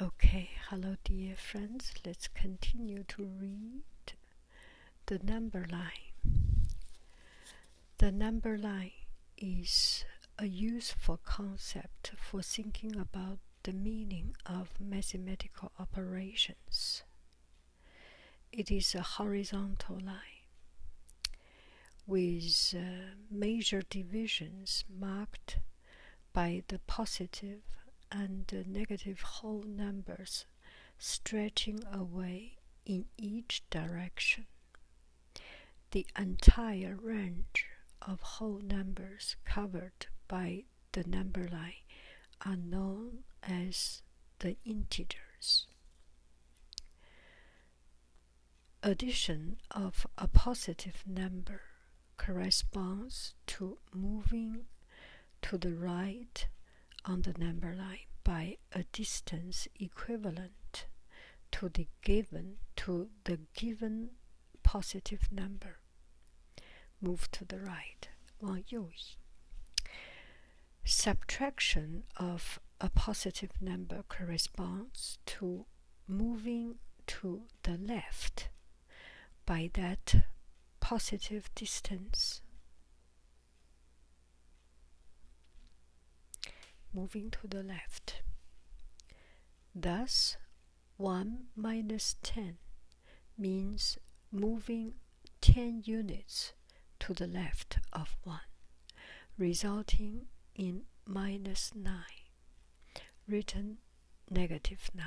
Okay, hello dear friends. Let's continue to read the number line. The number line is a useful concept for thinking about the meaning of mathematical operations. It is a horizontal line with uh, major divisions marked by the positive and negative whole numbers stretching away in each direction. The entire range of whole numbers covered by the number line are known as the integers addition of a positive number corresponds to moving to the right on the number line by a distance equivalent to the given to the given positive number. Move to the right. 往右移. Subtraction of a positive number corresponds to moving to the left by that positive distance. Moving to the left. Thus, 1 minus 10 means moving 10 units to the left of 1, resulting in minus 9 written negative 9,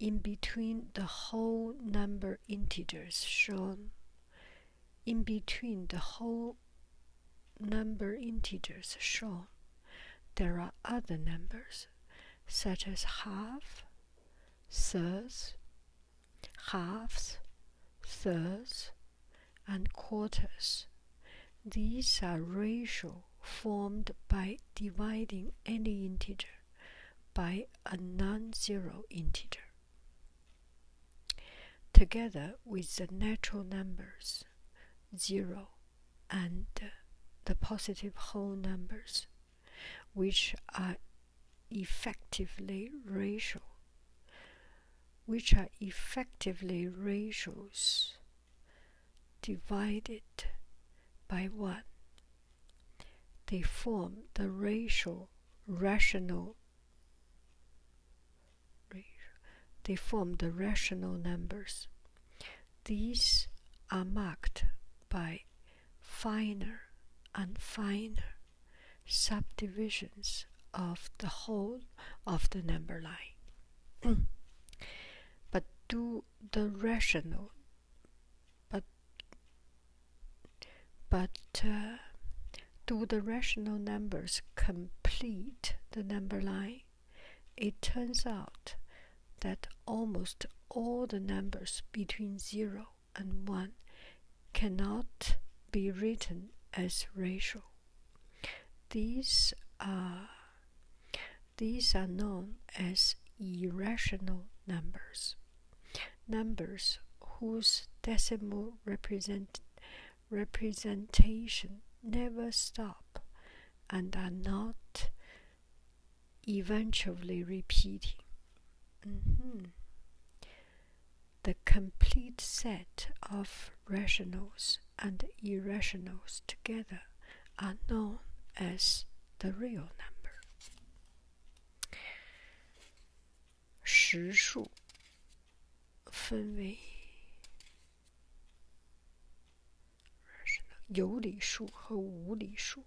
In between the whole number integers shown, in between the whole number integers shown, there are other numbers such as half, thirds, halves, thirds, and quarters. These are ratios formed by dividing any integer by a non-zero integer together with the natural numbers 0 and the positive whole numbers which are effectively ratio which are effectively ratios divided by 1. They form the ratio rational they form the rational numbers. These are marked by finer and finer subdivisions of the whole of the number line. but do the rational but but uh, do the rational numbers complete the number line? It turns out that almost all the numbers between 0 and 1 cannot be written as rational. These are these are known as irrational numbers. Numbers whose decimal representation never stop and are not eventually repeating. Mm-hmm the complete set of rationals and irrationals together are known as the real number. 实数分为有理数和无理数。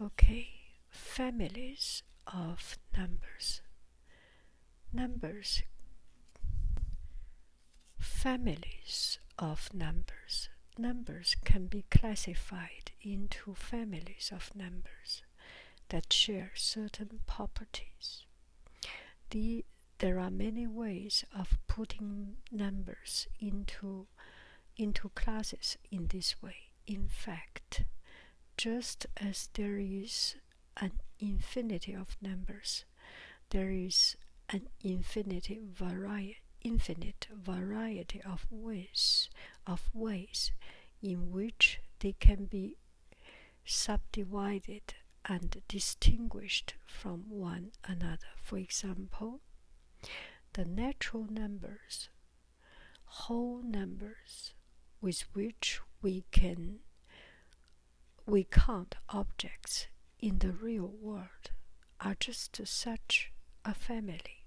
Okay, families of numbers. Numbers. Families of numbers. Numbers can be classified into families of numbers that share certain properties. there are many ways of putting numbers into, into classes in this way. In fact, just as there is an infinity of numbers, there is an infinity vari infinite variety of ways of ways in which they can be subdivided and distinguished from one another. For example, the natural numbers whole numbers with which we can we count objects in the real world are just such a family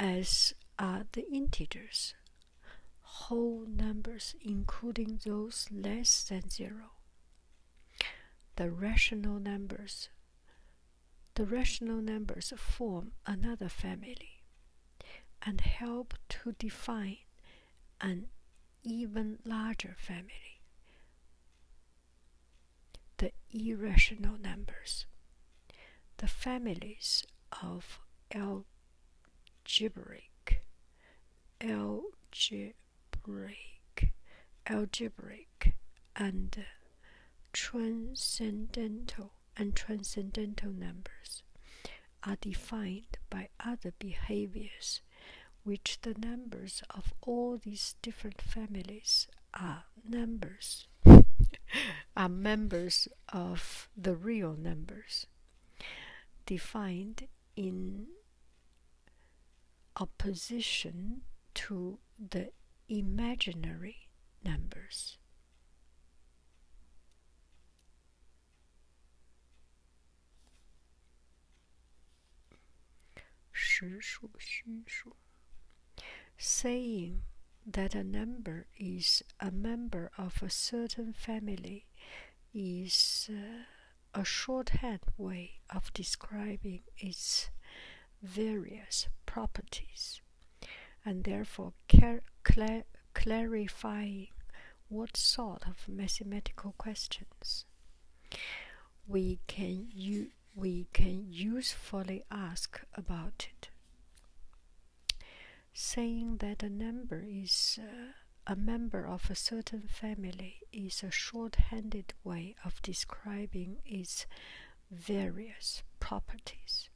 as are the integers whole numbers including those less than zero the rational numbers the rational numbers form another family and help to define an even larger family, the irrational numbers. The families of algebraic, algebraic, algebraic and uh, transcendental and transcendental numbers are defined by other behaviors which the numbers of all these different families are numbers are members of the real numbers defined in opposition to the imaginary numbers. Saying that a number is a member of a certain family is uh, a shorthand way of describing its various properties and therefore clarify what sort of mathematical questions we can u we can usefully ask about it. Saying that a number is uh, a member of a certain family is a short-handed way of describing its various properties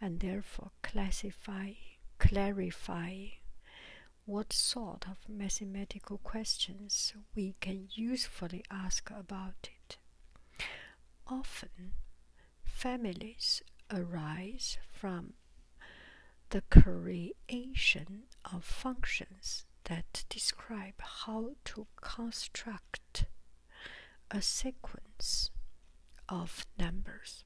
and therefore classify, clarify, what sort of mathematical questions we can usefully ask about it. Often, families arise from the creation of functions that describe how to construct a sequence of numbers.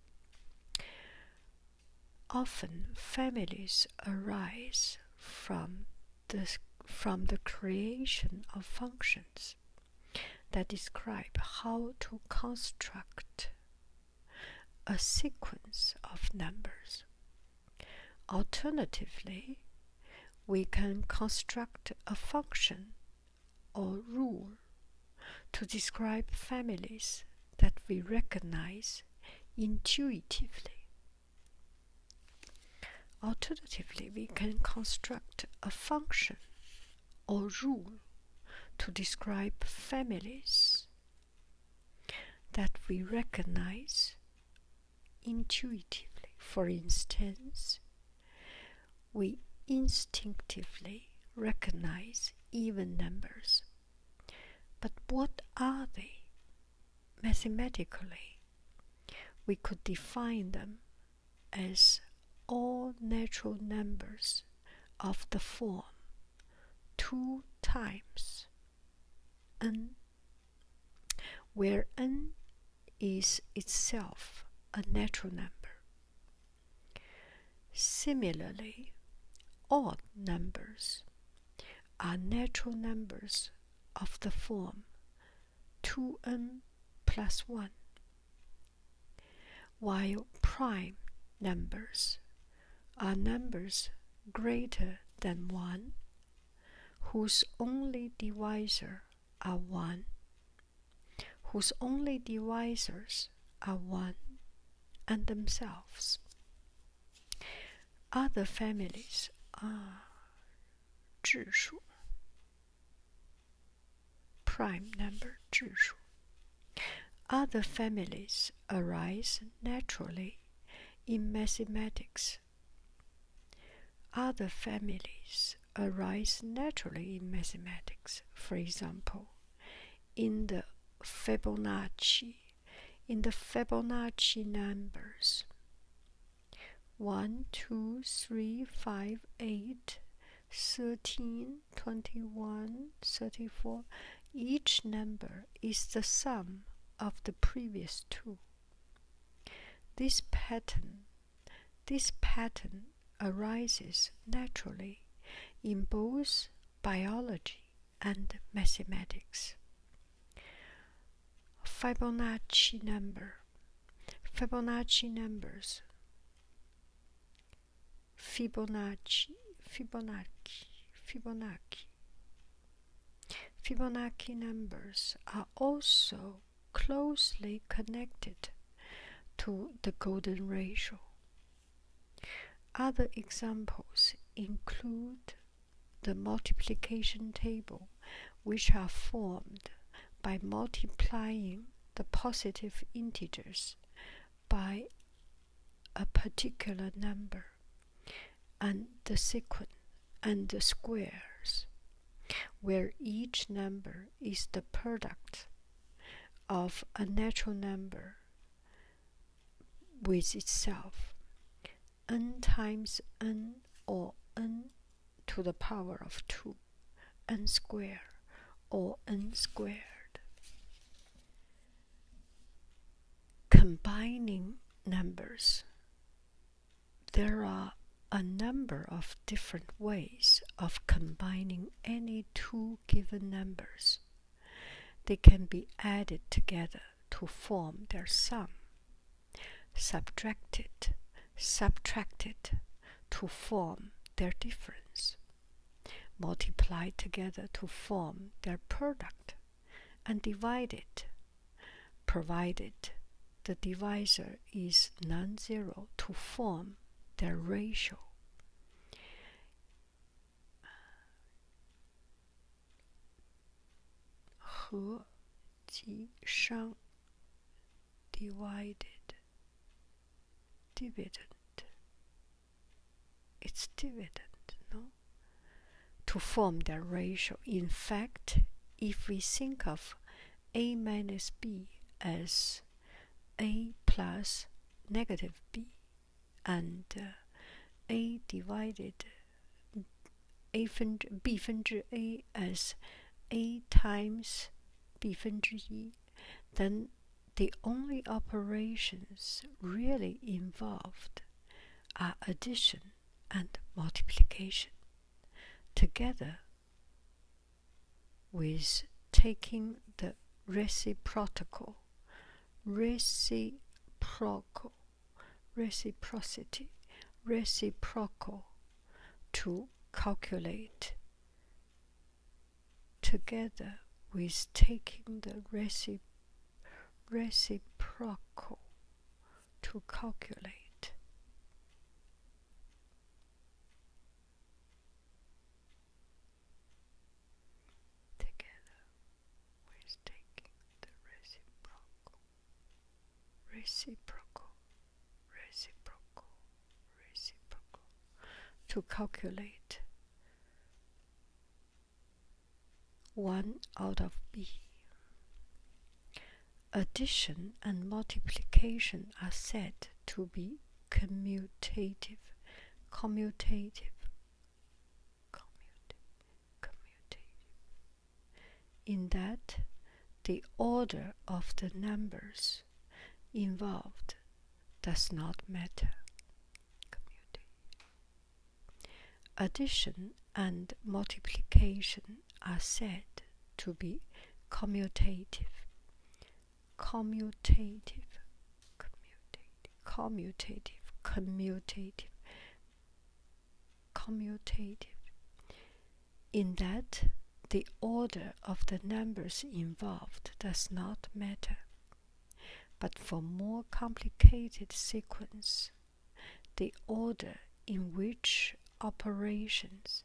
Often families arise from the, from the creation of functions that describe how to construct a sequence of numbers. Alternatively, we can construct a function or rule to describe families that we recognize intuitively. Alternatively, we can construct a function or rule to describe families that we recognize intuitively. For instance, we instinctively recognize even numbers. But what are they? Mathematically, we could define them as all natural numbers of the form 2 times n, where n is itself a natural number. Similarly, odd numbers are natural numbers of the form 2n plus 1, while prime numbers are numbers greater than 1 whose only divisor are one, whose only divisors are one and themselves. Other families are 质数 prime number other families arise naturally in mathematics other families arise naturally in mathematics, for example, in the Fibonacci, in the Fibonacci numbers. 1, 2, 3, 5, 8, 13, 21, 34. Each number is the sum of the previous two. This pattern this pattern arises naturally in both biology and mathematics. Fibonacci number. Fibonacci numbers. Fibonacci, Fibonacci, Fibonacci. Fibonacci numbers are also closely connected to the golden ratio. Other examples include the multiplication table, which are formed by multiplying the positive integers by a particular number and the sequence and the squares, where each number is the product of a natural number with itself, n times n or n to the power of 2, n squared or n squared. Combining numbers there are a number of different ways of combining any two given numbers. They can be added together to form their sum, subtracted, subtracted to form their difference, multiplied together to form their product, and divided provided the divisor is non-zero to form the ratio. He shang divided dividend. It's dividend, no? To form the ratio. In fact, if we think of a minus b as a plus negative b and uh, a divided a 分之 b 分之 a as a times b 分之一 then the only operations really involved are addition and multiplication. Together, with taking the reciprocal, reciprocal, reciprocity, reciprocal to calculate together with taking the recip reciprocal to calculate Together we're taking the reciprocal, reciprocal, reciprocal, reciprocal to calculate one out of b. Addition and multiplication are said to be commutative. Commutative. Commutative. Commutative. In that the order of the numbers involved does not matter. Addition and multiplication are said to be commutative. Commutative, commutative, commutative, commutative, commutative. In that, the order of the numbers involved does not matter. But for more complicated sequence, the order in which operations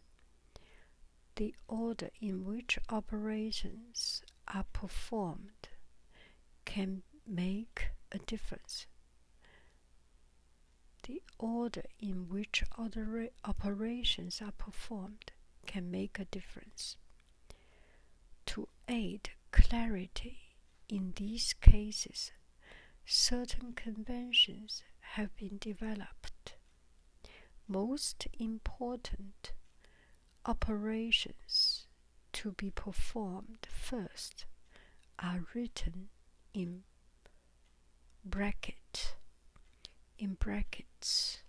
the order in which operations are performed can make a difference. The order in which other operations are performed can make a difference. To aid clarity in these cases, certain conventions have been developed. Most important operations to be performed first are written in bracket in brackets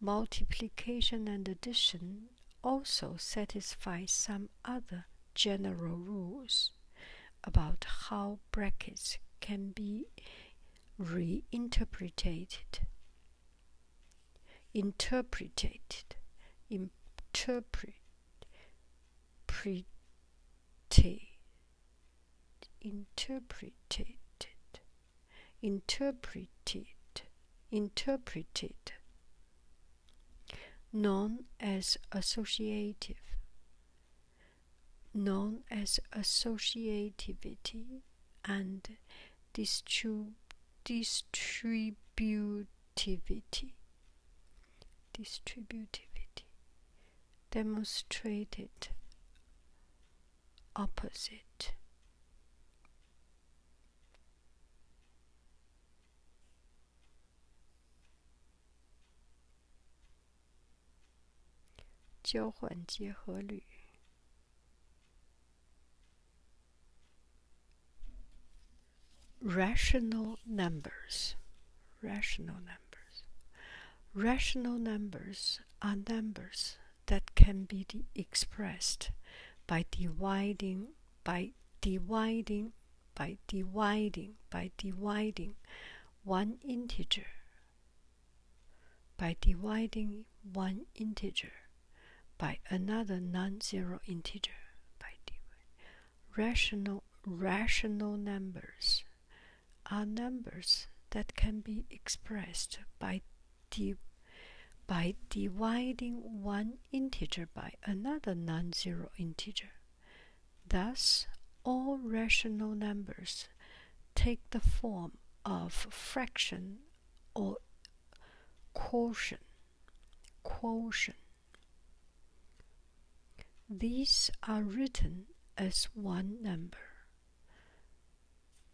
multiplication and addition also satisfy some other general rules about how brackets can be reinterpreted. Interpreted. Interpret. Interpreted. Interpreted. Interpreted. Known as associative known as associativity and distributivity. Distributivity demonstrated opposite. Rational numbers, rational numbers, rational numbers are numbers that can be expressed by dividing by dividing by dividing, by dividing one integer, by dividing one integer by another non-zero integer, by dividing. Rational, rational numbers are numbers that can be expressed by by dividing one integer by another non-zero integer. Thus, all rational numbers take the form of fraction or quotient. quotient. These are written as one number.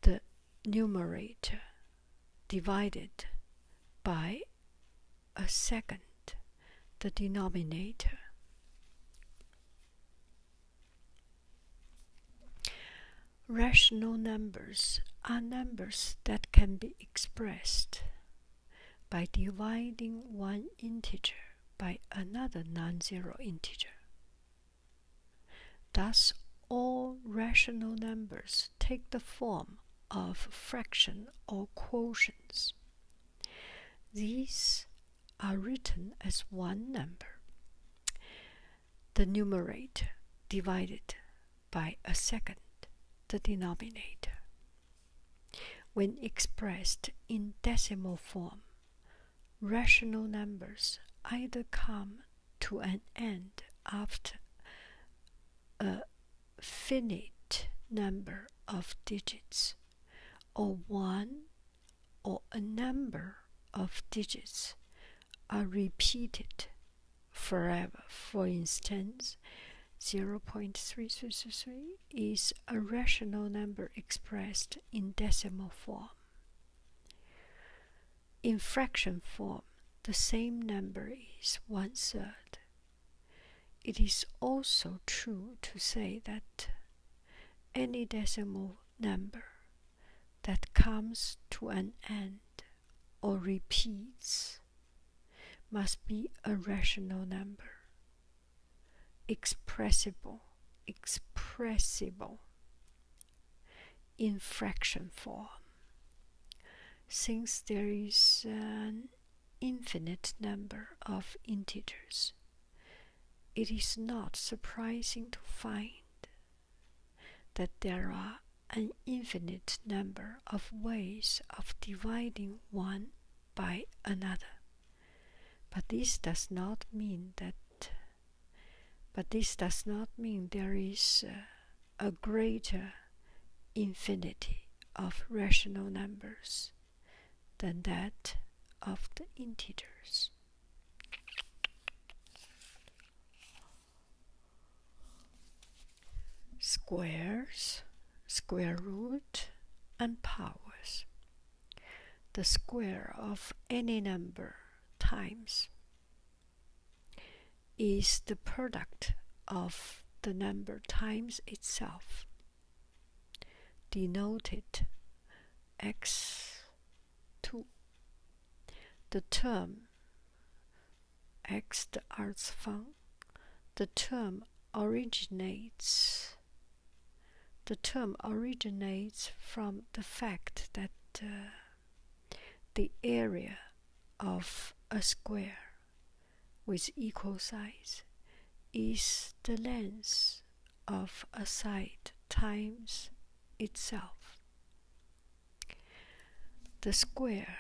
The numerator divided by a second, the denominator. Rational numbers are numbers that can be expressed by dividing one integer by another non-zero integer. Thus, all rational numbers take the form of fraction or quotients. These are written as one number. The numerator divided by a second, the denominator. When expressed in decimal form, rational numbers either come to an end after a finite number of digits or one or a number of digits are repeated forever. For instance, 0.333 is a rational number expressed in decimal form. In fraction form, the same number is one third. It is also true to say that any decimal number that comes to an end or repeats must be a rational number expressible expressible in fraction form since there is an infinite number of integers it is not surprising to find that there are an infinite number of ways of dividing one by another. But this does not mean that but this does not mean there is uh, a greater infinity of rational numbers than that of the integers. Squares, square root, and powers. The square of any number times is the product of the number times itself denoted x2. The term x the arts fun. The term originates the term originates from the fact that uh, the area of a square with equal size is the length of a side times itself. The square.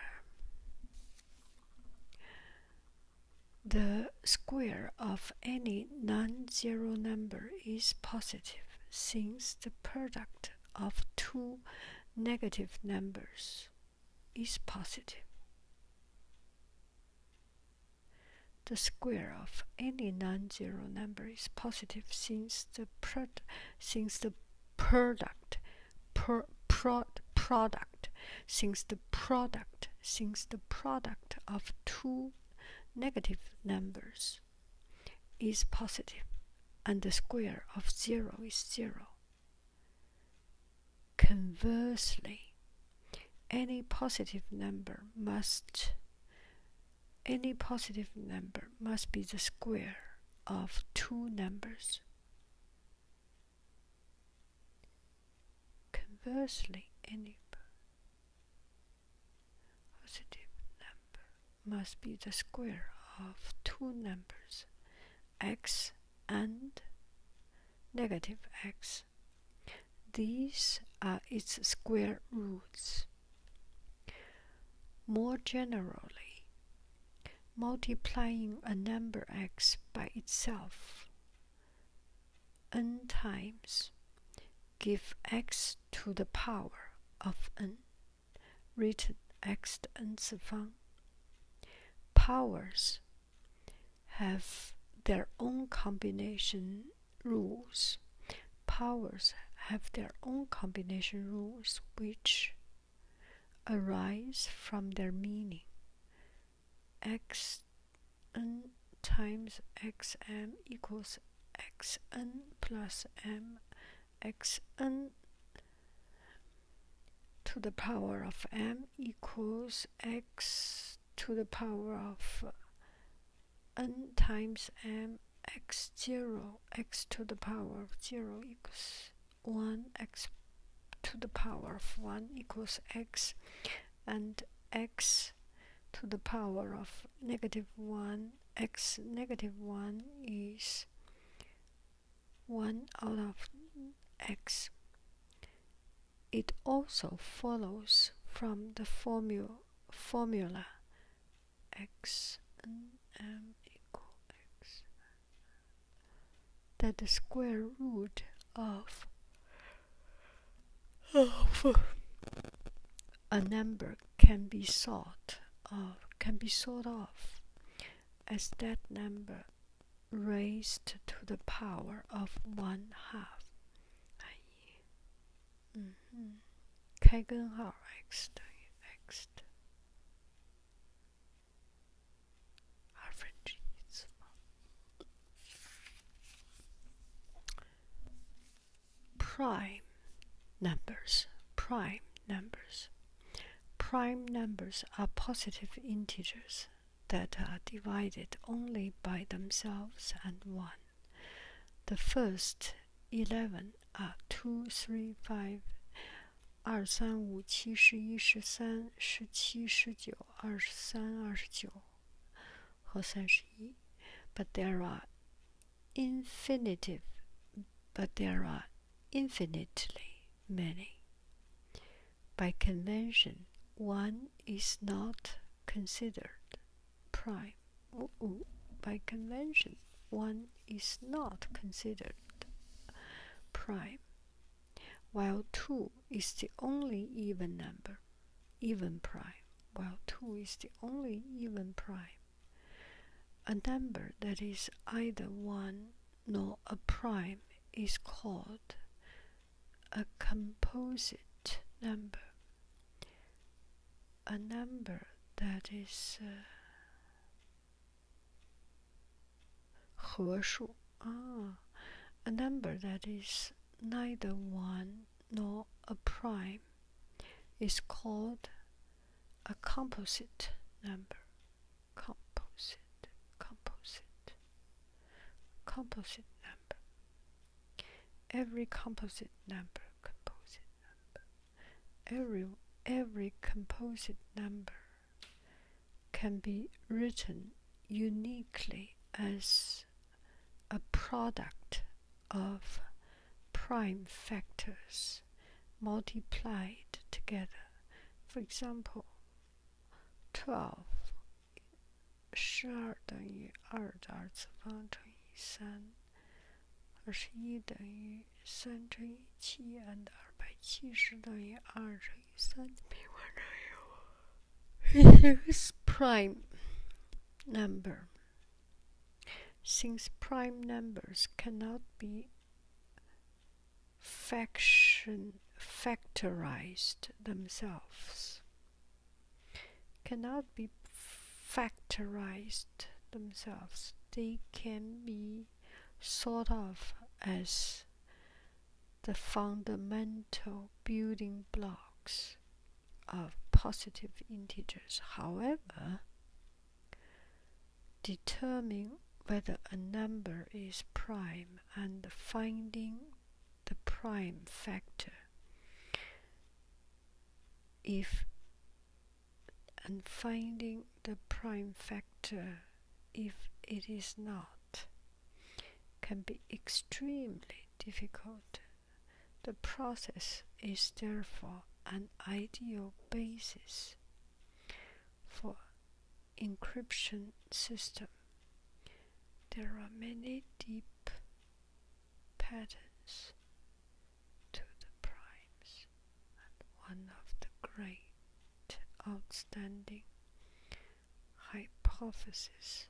The square of any non-zero number is positive since the product of two negative numbers is positive. The square of any non-zero number is positive since the product since the product product since the product since the product of two negative numbers is positive and the square of zero is zero. Conversely, any positive number must any positive number must be the square of two numbers. Conversely, any positive number must be the square of two numbers, x and negative x. These are its square roots. More generally, multiplying a number x by itself n times gives x to the power of n written x to the nth 方. Powers have their own combination rules. Powers have their own combination rules which arise from their meaning. X n times x m equals x n plus m x n to the power of m equals x to the power of n times m x 0 x to the power of 0 equals 1 x to the power of 1 equals x and x to the power of negative 1 x negative 1 is 1 out of x it also follows from the formula x n m that the square root of of a number can be sought of can be sought of as that number raised to the power of one half，哎，嗯嗯，开根号 x 等于 x 的二分之一次方。Prime numbers, prime numbers, prime numbers are positive integers that are divided only by themselves and one. The first eleven are two, three, But there are infinitive, but there are infinitely many. By convention, one is not considered prime. By convention, one is not considered prime, while 2 is the only even number, even prime, while 2 is the only even prime. A number that is either 1 nor a prime is called a composite number a number that is uh, ah, a number that is neither one nor a prime is called a composite number composite composite Composite number. Every composite number, Every every composite number can be written uniquely as a product of prime factors multiplied together. For example, 12 and 十二等于二的二次方乘以三，二十一等于三乘以七，and 二百七十等于二乘以三的平方乘以五。Since prime number, since prime numbers cannot be fraction factorized themselves, cannot be factorized themselves. They can be thought of as the fundamental building blocks of positive integers. However, determining whether a number is prime and finding the prime factor. If and finding the prime factor, if it is not, can be extremely difficult. The process is therefore an ideal basis for encryption system. There are many deep patterns to the primes, and one of the great outstanding hypotheses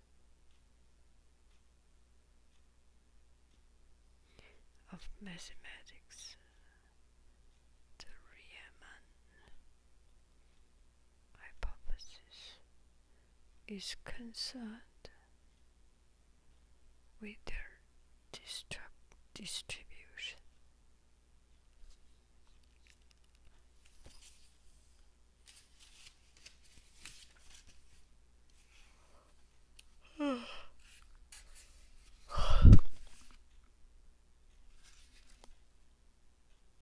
of mathematics, the Riemann hypothesis is concerned with their distribution.